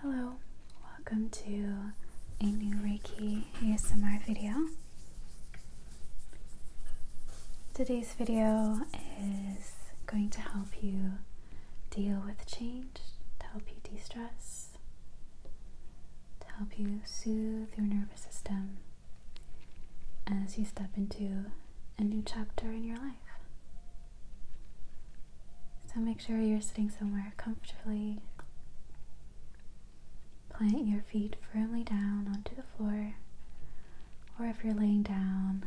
Hello, welcome to a new Reiki ASMR video. Today's video is going to help you deal with change, to help you de stress, to help you soothe your nervous system as you step into a new chapter in your life. So make sure you're sitting somewhere comfortably. Plant your feet firmly down onto the floor, or if you're laying down,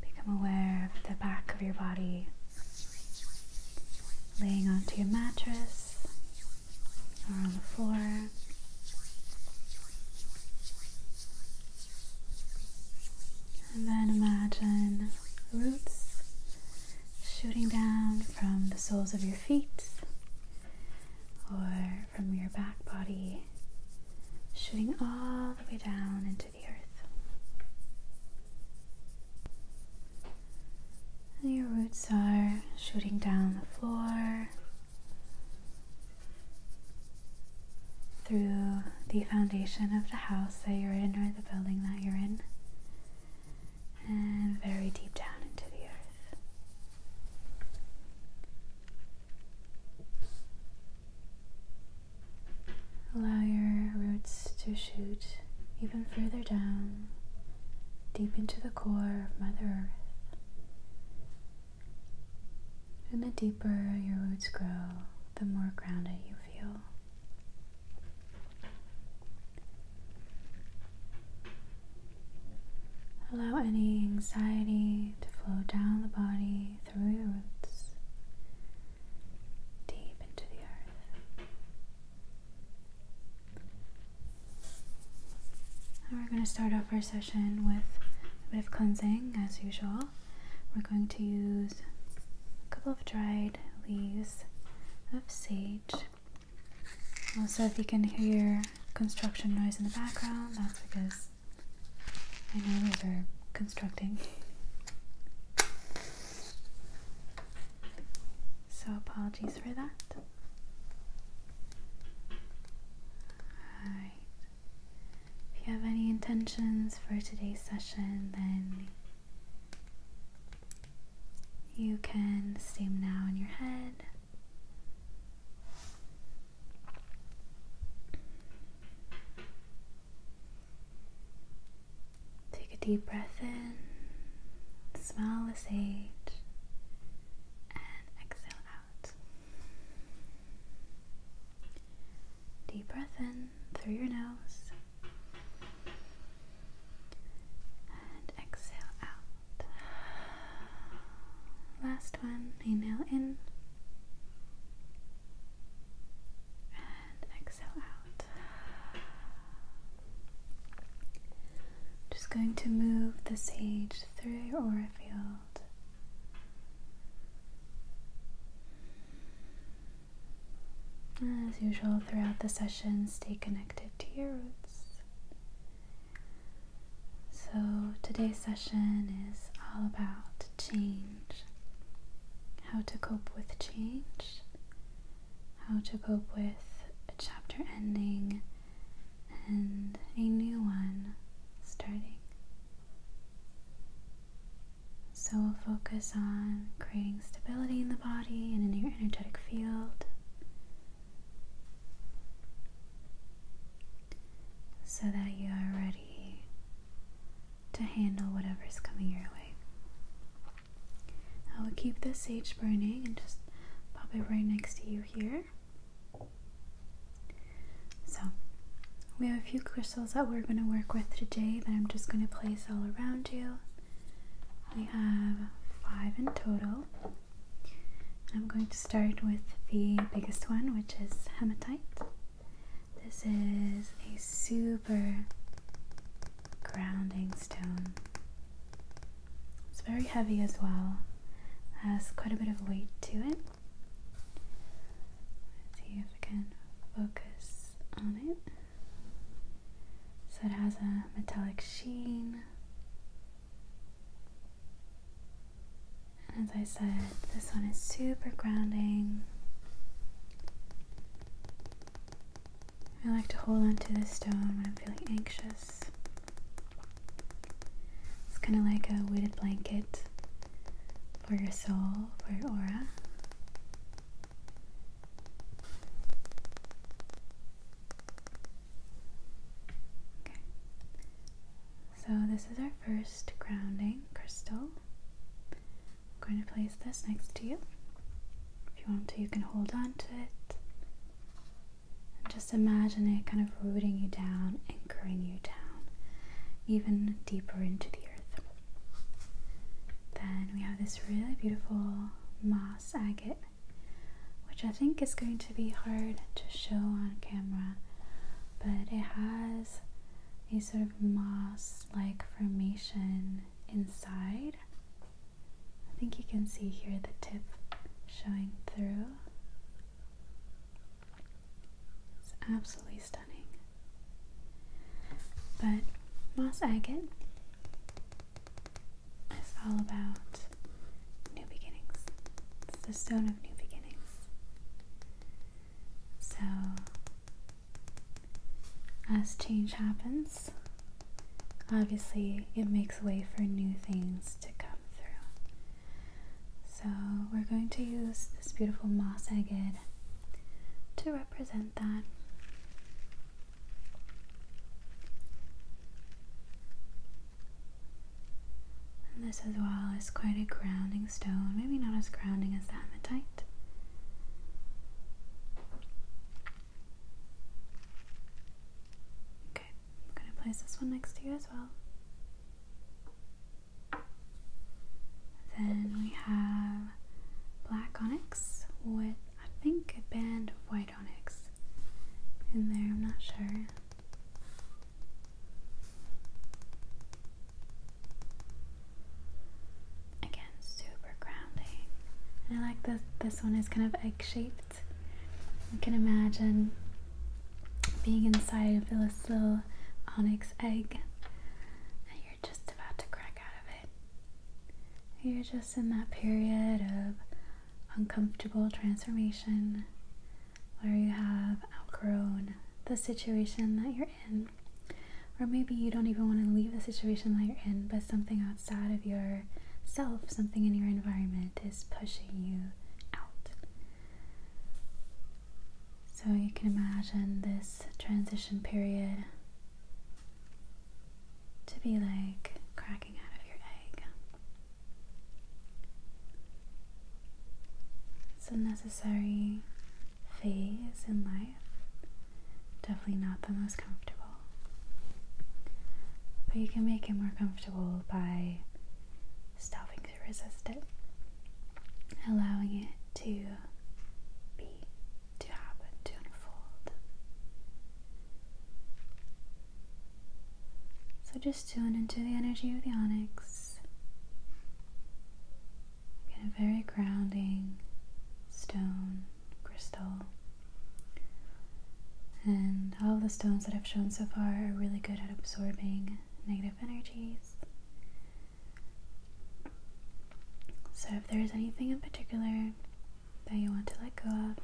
become aware of the back of your body laying onto your mattress or on the floor. And then imagine roots shooting down from the soles of your feet or from your back body, shooting all the way down into the earth. your roots are shooting down the floor, through the foundation of the house that you're in or the building that you're in, and very deep down into the earth. Allow your roots to shoot even further down, deep into the core of Mother Earth. And the deeper your roots grow, the more grounded you feel. Allow any anxiety to flow down the body through your roots deep into the earth. we're going to start off our session with a bit of cleansing as usual we're going to use a couple of dried leaves of sage. Also, if you can hear construction noise in the background, that's because I know those are constructing. So, apologies for that. Alright, if you have any intentions for today's session, then you can state now in your head. Take a deep breath in, smell the sage, and exhale out. Deep breath in through your nose and exhale out. Last one, inhale in and exhale out. Just going to move the sage through your aura field. As usual, throughout the session, stay connected to your roots. So, today's session is all about change how to cope with change, how to cope with a chapter ending and a new one starting. So we'll focus on creating stability in the body and in your energetic field. So that you are ready to handle whatever is coming your way. I will keep the sage burning and just pop it right next to you here. So we have a few crystals that we're going to work with today that I'm just going to place all around you. We have five in total. I'm going to start with the biggest one, which is hematite. This is a super grounding stone. It's very heavy as well, has quite a bit of weight to it. Let's see if I can focus on it. So it has a metallic sheen. And as I said, this one is super grounding. I like to hold onto this stone when I'm feeling anxious. It's kind of like a weighted blanket for your soul, for your aura. Okay. So, this is our first grounding crystal. I'm going to place this next to you. If you want to, you can hold on to it. And just imagine it kind of rooting you down, anchoring you down, even deeper into the earth. Then we have this really beautiful moss agate, which I think is going to be hard to show on camera, but it has a sort of moss like formation inside. I think you can see here the tip showing through. It's absolutely stunning. But moss agate is all about new beginnings. It's the stone of new beginnings. So, as change happens, obviously it makes way for new things to come through. So, we're going to use this beautiful moss agate to represent that. this as well is quite a grounding stone, maybe not as grounding as the hematite. Okay, I'm going to place this one next to you as well. Then we have black onyx with I think a band of white onyx in there, I'm not sure. Again, super grounding. I like this this one is kind of egg shaped. You can imagine being inside of this little onyx egg you're just about to crack out of it. You're just in that period of uncomfortable transformation where you have outgrown the situation that you're in. Or maybe you don't even want to leave the situation that you're in, but something outside of yourself, something in your environment is pushing you out. So you can imagine this transition period to be like cracking out of your egg. It's a necessary phase in life, definitely not the most comfortable. But you can make it more comfortable by stopping to resist it allowing it to be, to happen, to unfold. So just tune into the energy of the onyx. Get a very grounding stone crystal. And all the stones that I've shown so far are really good at absorbing negative energies so, if there is anything in particular that you want to let go of,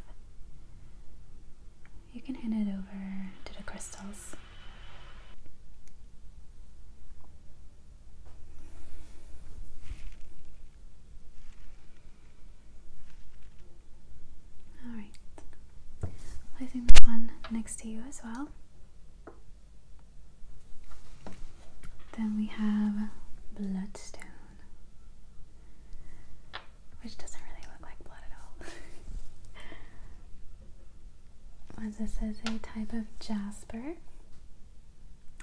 you can hand it over to the crystals. Alright, placing this one next to you as well. Then we have bloodstone, which doesn't really look like blood at all. this is a type of jasper,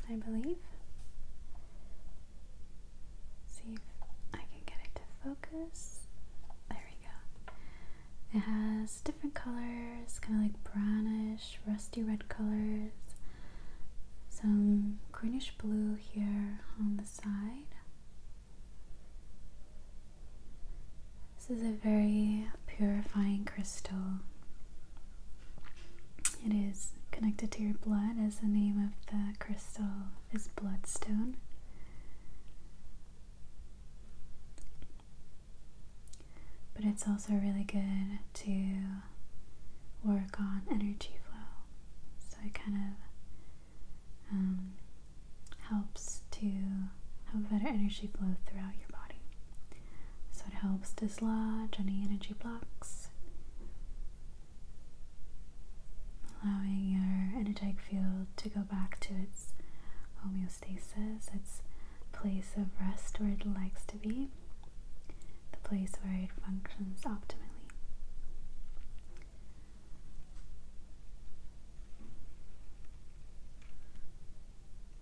I believe. see if I can get it to focus. There we go. It has different colors, kind of like brownish rusty red colors, some greenish blue here on the side. This is a very purifying crystal. It is connected to your blood as the name of the crystal is bloodstone. But it's also really good to work on energy flow. So it kind of um, helps to have better energy flow throughout your body. So it helps dislodge any energy blocks, allowing your energetic field to go back to its homeostasis, its place of rest where it likes to be, the place where it functions optimally.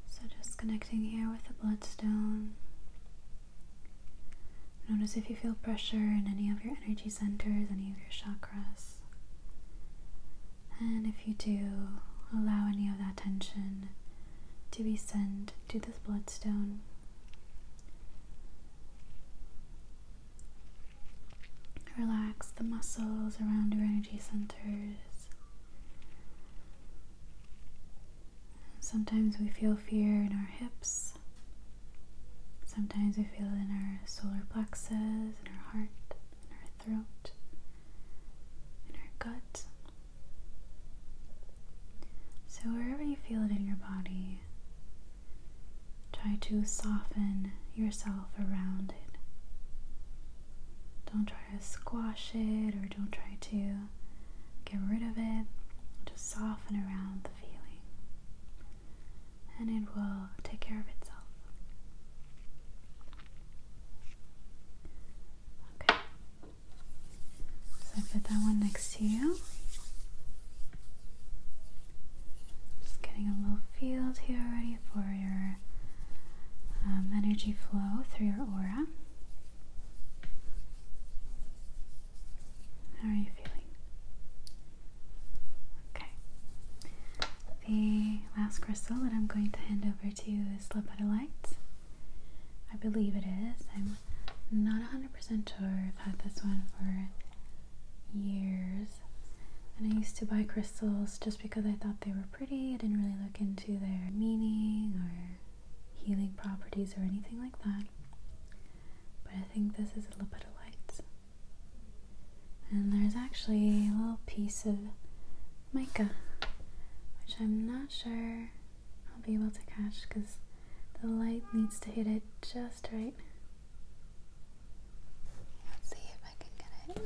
So, just connecting here with the bloodstone. Notice if you feel pressure in any of your energy centers, any of your chakras. And if you do, allow any of that tension to be sent to this bloodstone. Relax the muscles around your energy centers. Sometimes we feel fear in our hips. Sometimes we feel it in our solar plexus, in our heart, throat, and our gut. So, wherever you feel it in your body, try to soften yourself around it. Don't try to squash it or don't try to get rid of it. Just soften around the feeling, and it will take care of itself. Okay. So put that one next to you. Just getting a little field here already for your um, energy flow through your aura. How are you feeling? Okay. The last crystal that I'm going to hand over to you this lip light. I believe it is. I'm not 100% sure. I've had this one for years. And I used to buy crystals just because I thought they were pretty. I didn't really look into their meaning or healing properties or anything like that. But I think this is a lapidolite. And there's actually a little piece of mica, which I'm not sure I'll be able to catch because the light needs to hit it just right. Let's see if I can get it.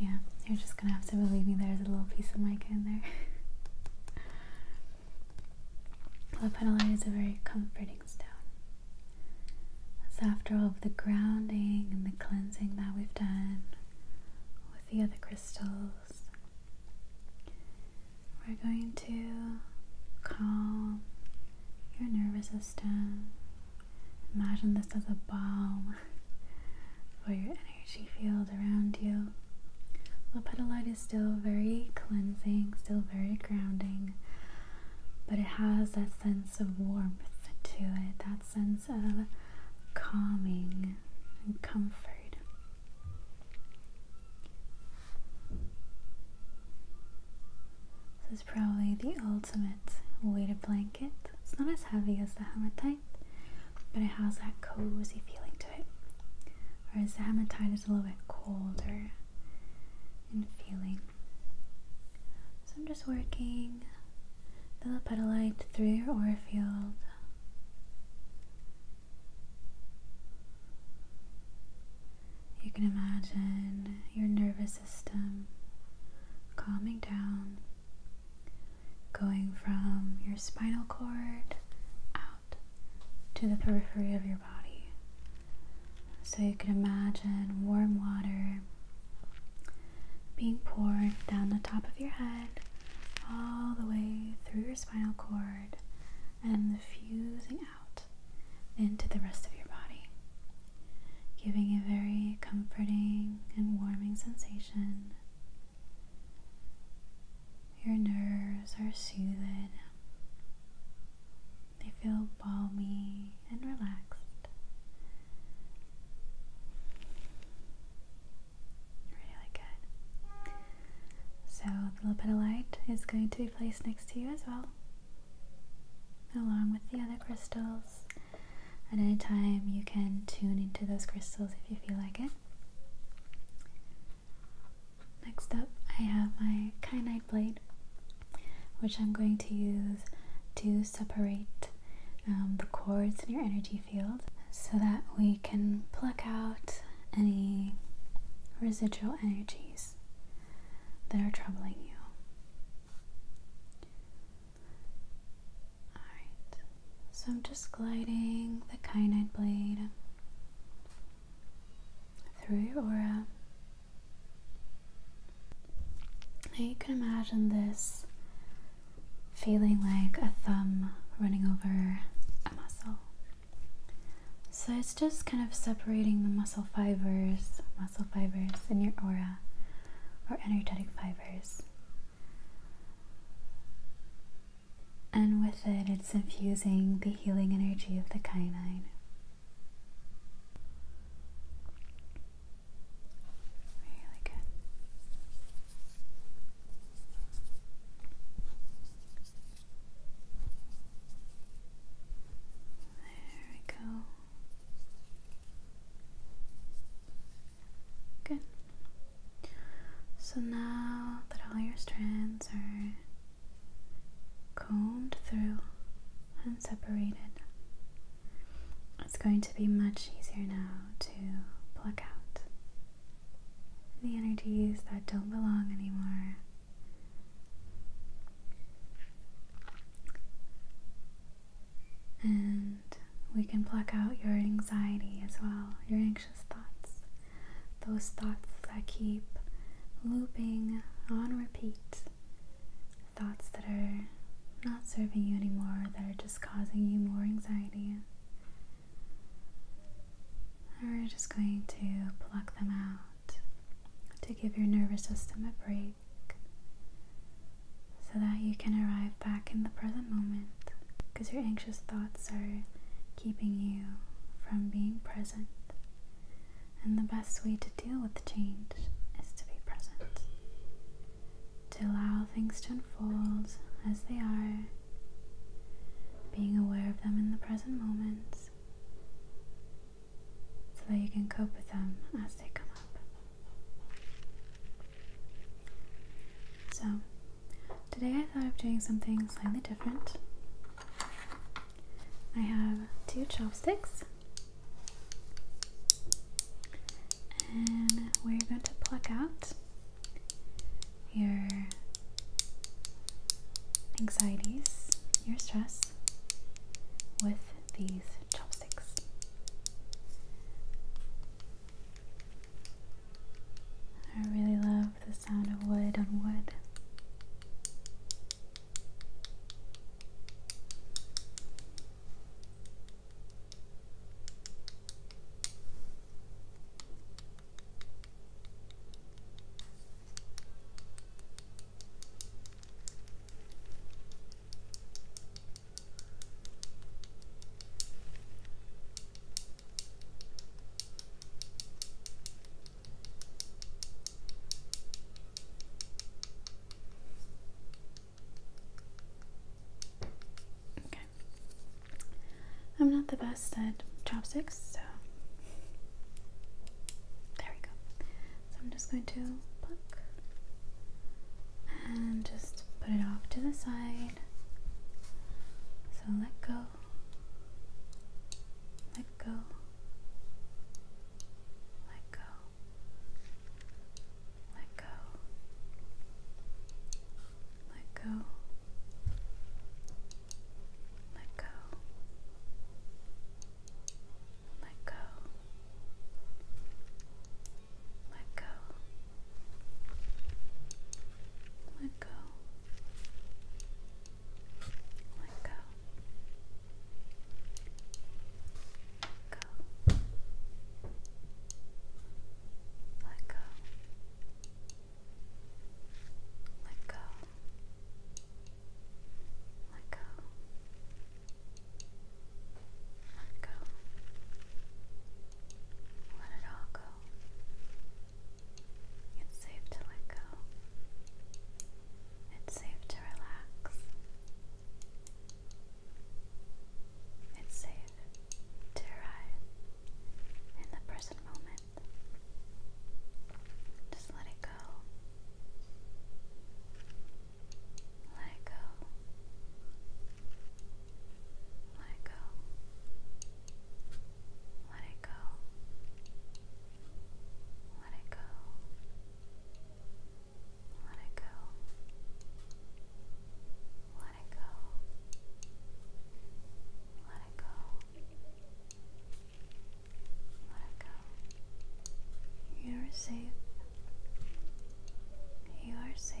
Yeah, you're just gonna have to believe me there's a little piece of mica in there. Lapetolite is a very comforting stone. So after all of the grounding and the cleansing that we've done with the other crystals, we're going to calm your nervous system. Imagine this as a balm for your energy field around you. The petalite is still very cleansing, still very grounding, but it has that sense of warmth to it, that sense of calming and comfort. This is probably the ultimate weighted blanket. It's not as heavy as the hematite, but it has that cozy feeling to it whereas the hematite is a little bit colder in feeling. So I'm just working the petalite through your aura field. You can imagine your nervous system calming down, going from your spinal cord out to the periphery of your body. So you can imagine warm water being poured down the top of your head, all the way through your spinal cord, and fusing out into the rest of your body, giving a very comforting and warming sensation your nerves are soothed, they feel balmy and relaxed. Really good. So, the little bit of light is going to be placed next to you as well, along with the other crystals. At any time, you can tune into those crystals if you feel like it. Next up, I have my kyanite blade, which I'm going to use to separate um, the cords in your energy field so that we can pluck out any residual energies that are troubling you. Alright, so I'm just gliding the kyanite blade through your aura. Now you can imagine this feeling like a thumb running over a muscle. So it's just kind of separating the muscle fibers, muscle fibers in your aura or energetic fibers and with it, it's infusing the healing energy of the kinine. Really good. There we go. Good. So now that all your strands are combed through and separated, it's going to be much easier now to pluck out the energies that don't belong anymore. And we can pluck out your anxiety as well. Your anxious thoughts, those thoughts that keep looping on repeat, thoughts that are not serving you anymore, that are just causing you more anxiety. And we're just going to pluck them out to give your nervous system a break so that you can arrive back in the present moment because your anxious thoughts are keeping you from being present. And the best way to deal with change is to be present, to allow things to unfold as they are, being aware of them in the present moment so that you can cope with them as they come up. So, Today I thought of doing something slightly different. I have two chopsticks and we're going to pluck out your anxieties, your stress with these chopsticks. I really love love the sound of wood on wood. Okay. I'm not the best at chopsticks, so there we go. So I'm just going to pluck and just put it off to the side. So let go let go, let go, let go, let go, let go, let go, let go. Let go. Let go. Let go. Let go. Let go. Let go. Let go. Let it all go. It's safe to let go. It's safe to relax. It's safe to arrive in the present moment. Just let it go. Let it go. Let it go. Let it go. Let it go. Let it go. Let it go. Let it go. Let it go. You're safe. You are safe.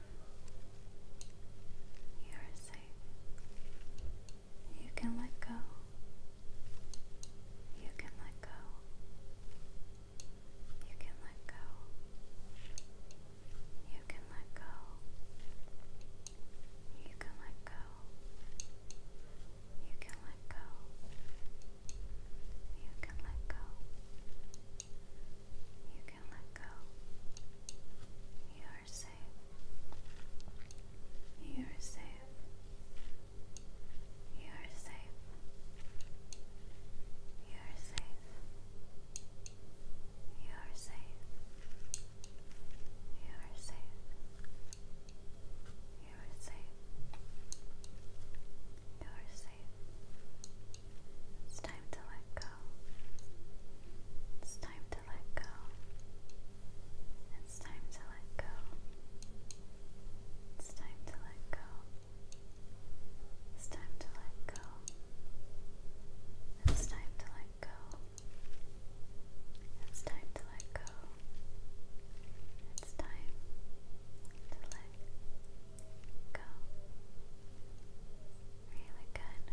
You are safe. You can let go. You can let go. You can let go. You can let go. You can let go. You can let go. You can let go. You are safe. You are safe. You are safe. You are safe. You are safe. You are safe. You are safe. You are safe time to It's time to let go. It's time to let go. It's time to let go. It's time to let go. It's time to let go. It's time to let go. It's time to let go. Really good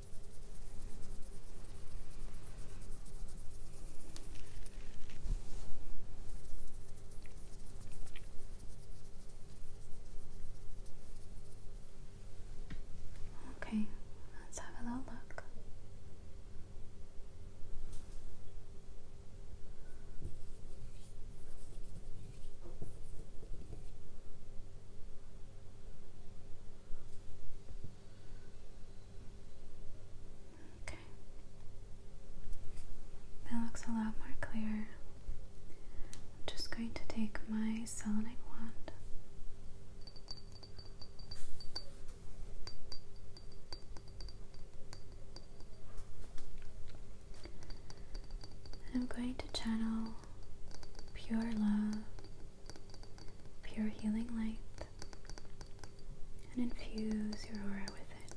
Okay, let's have a little look. Okay. That looks a lot more clear. I'm just going to take my selenite wand. I'm going to channel pure love pure healing light and infuse your aura with it.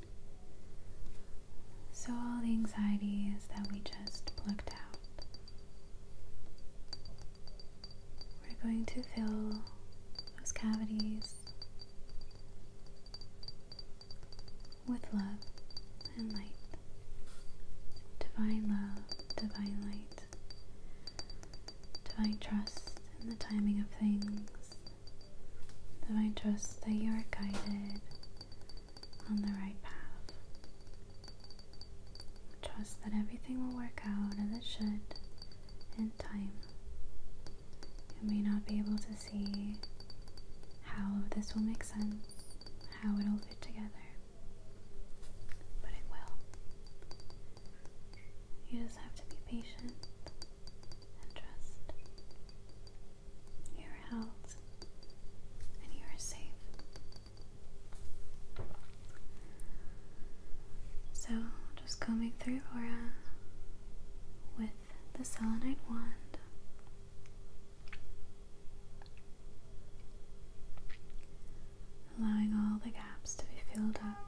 So, all the anxieties that we just plucked out, we're going to fill those cavities with love and light. Divine love, divine light. To Divine trust in the timing of things. Divine trust that you are guided on the right path. Trust that everything will work out as it should in time. You may not be able to see how this will make sense, how it'll fit together. But it will. You just have to be patient and trust. You are held and you are safe. So, just combing through aura with the selenite wand allowing all the gaps to be filled up.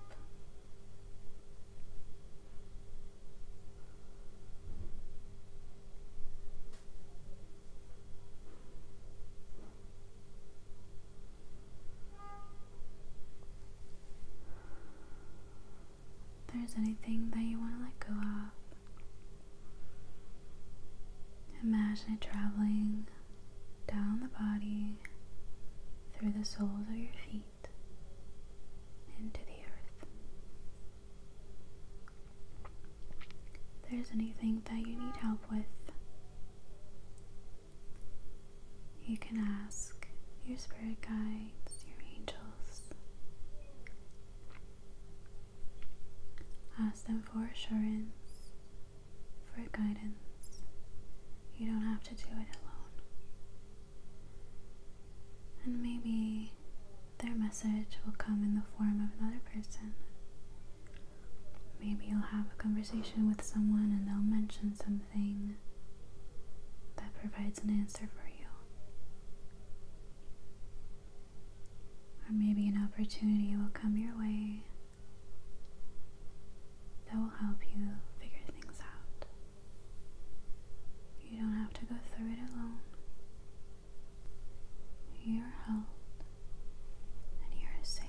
If there's anything that you want to let go of, imagine traveling down the body, through the soles of your feet, into the earth. If there's anything that you need help with, you can ask your spirit guides, your angels. Ask them for assurance for guidance. You don't have to do it alone. And maybe their message will come in the form of another person. Maybe you'll have a conversation with someone and they'll mention something that provides an answer for you. Or maybe an opportunity will come your way that will help you figure things out. You don't have to go through it alone. You are held and you are safe.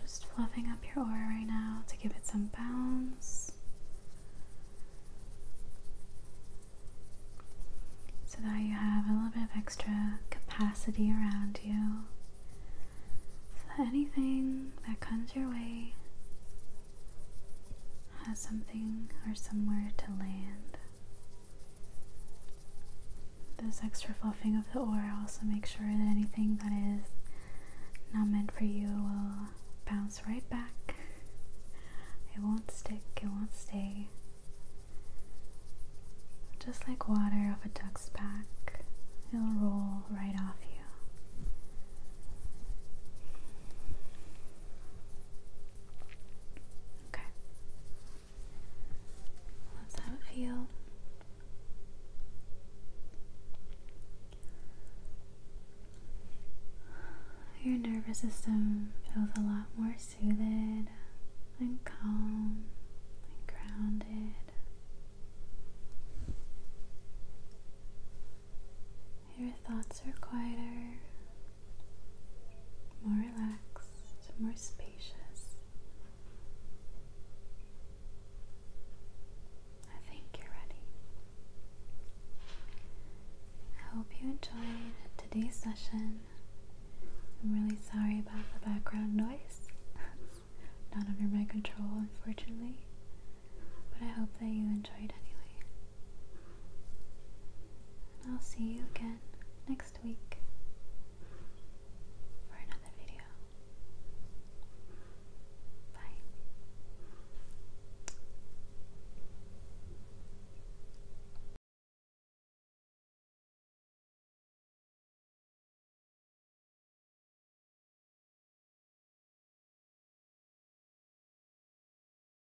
Just fluffing up your aura right now to give it some bounce. So that you have a little bit of extra capacity around you. So that anything that comes your way has something or somewhere to land. This extra fluffing of the aura also makes sure that anything that is not meant for you will bounce right back. It won't stick, it won't stay. Just like water off a duck's back, it'll roll right off you. Okay. Let that feel. Your nervous system feels a lot more soothed and calm and grounded. Your thoughts thoughts are quieter, more relaxed, more spacious. I think you're ready. I hope you enjoyed today's session. I'm really sorry about the background noise. That's not under my control, unfortunately. But I hope that you enjoyed anyway. And I'll see you again next week for another video. Bye.